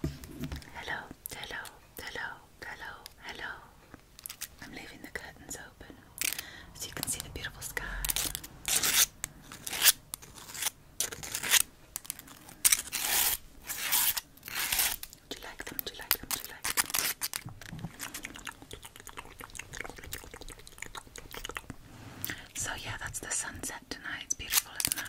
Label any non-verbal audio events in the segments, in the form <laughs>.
Hello, hello, hello, hello, hello. I'm leaving the curtains open so you can see the beautiful sky. Do you like them? Do you like them? So yeah, that's the sunset tonight. It's beautiful, isn't it?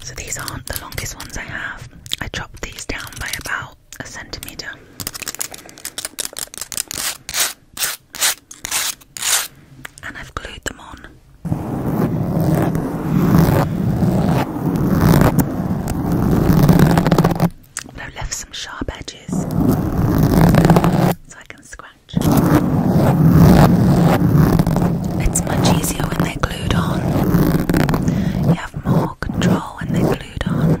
So these aren't the longest ones I have. I chopped these down by about a centimetre. And I've glued them on. I've left some sharp edges so I can square. It's much easier when they're glued on. You have more control when they're glued on.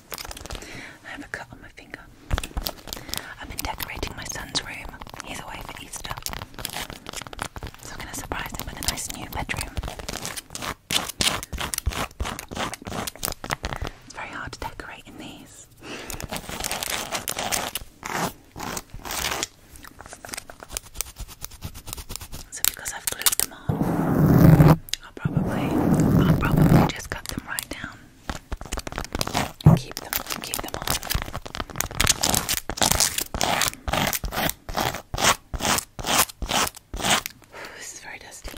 I have a cut on my finger. I've been decorating my son's room. a way for Easter. I'm going to surprise him with a nice new bedroom. It's very hard to decorate in these. So because I've glued them on, I'll probably I'll probably just cut them right down Keep them, keep them on. This is very dusty.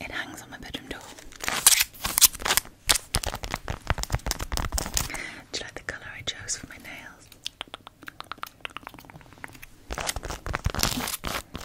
It hangs on my bedroom door. Do you like the colour I chose for my nails?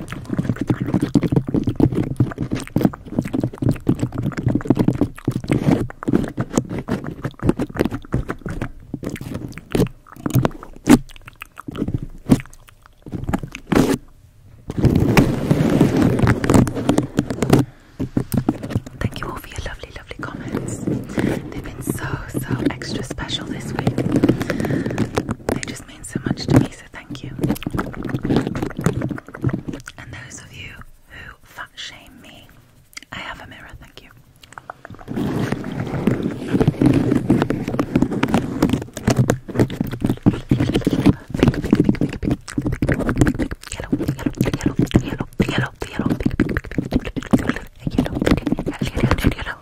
Thank you all for your lovely, lovely comments. They've been so, so extra special this week. They just mean so much to me, so thank you. And those of you who fat shame me, I have a mirror, thank you.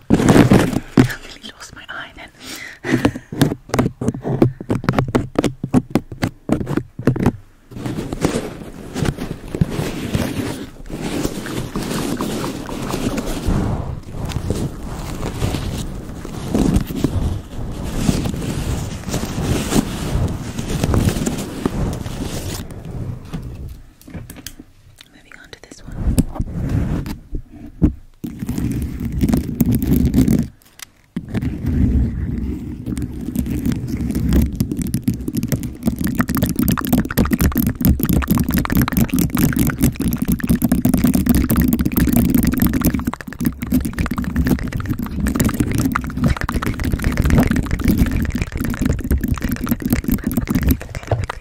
Wow, I nearly lost my eye then. Moving on to this one.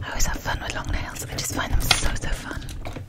I always have fun with long nails. I just find them so so fun.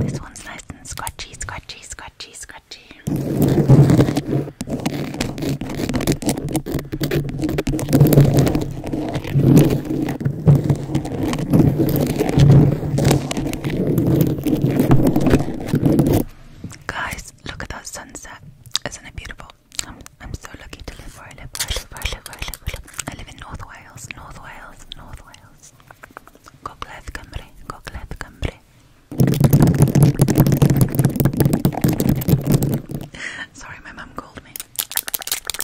This one's nice and scratchy, scratchy, scratchy, scratchy. Guys, look at that sunset. Isn't it beautiful? I'm, so lucky to live where I live, I live, in North Wales, North Wales, North Wales. Gogledd Cymru, Gogledd Cymru. <laughs> Sorry, my mum called me.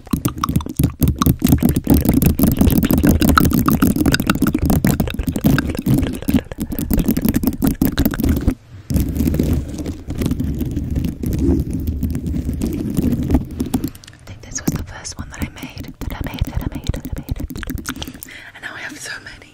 I think this was the first one that I made, that I made, that I made, that I made. And now I have so many.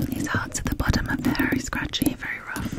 These hearts at the bottom are very scratchy, very rough.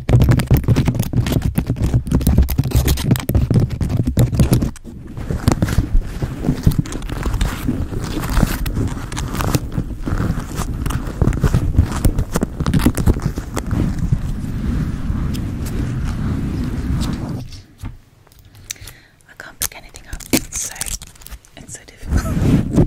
I can't pick anything up. It's so it's so difficult.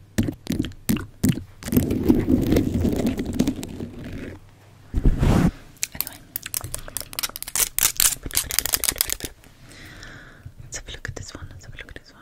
Anyway. Let's have a look at this one. Let's have a look at this one.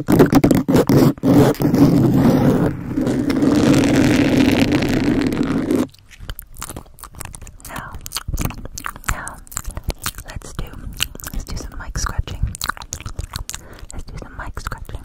Now, now, let's do let's do some mic scratching. Let's do some mic scratching.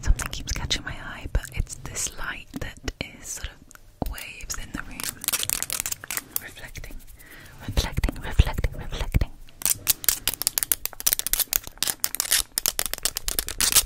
Something keeps catching my eye, but it's this light that is sort of waves in the room, reflecting, reflecting, reflecting, reflecting.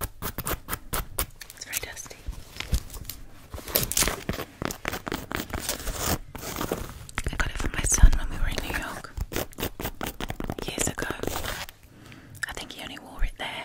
It's very dusty. I got it for my son when we were in New York years ago. I think he only wore it there.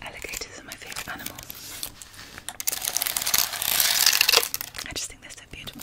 Alligators are my favourite animal. I just think they're so beautiful.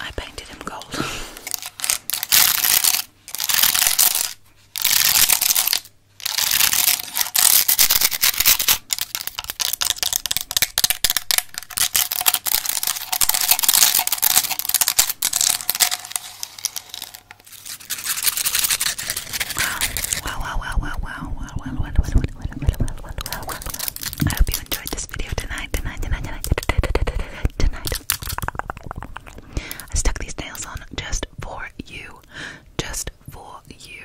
I painted him gold. <laughs> Wow, wow, wow, wow, wow, wow, wow, wow, wow, I hope you enjoyed this video tonight, tonight, tonight, tonight, tonight. I stuck these nails on just for you, just for you.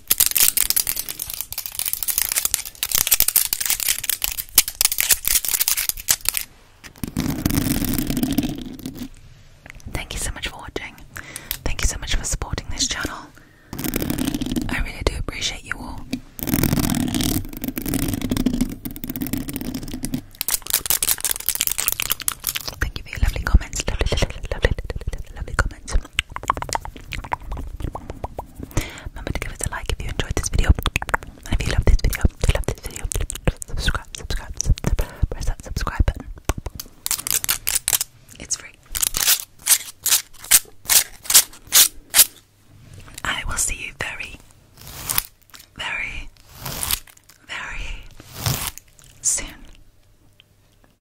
Thank you so much for watching. Thank you so much for supporting this channel. I really do appreciate you all. Thank you for your lovely comments. Remember to give us a like if you enjoyed this video. And if you love this video, if this video, subscribe, subscribe, subscribe, press that subscribe button. It's free. I will see you very, very, very soon.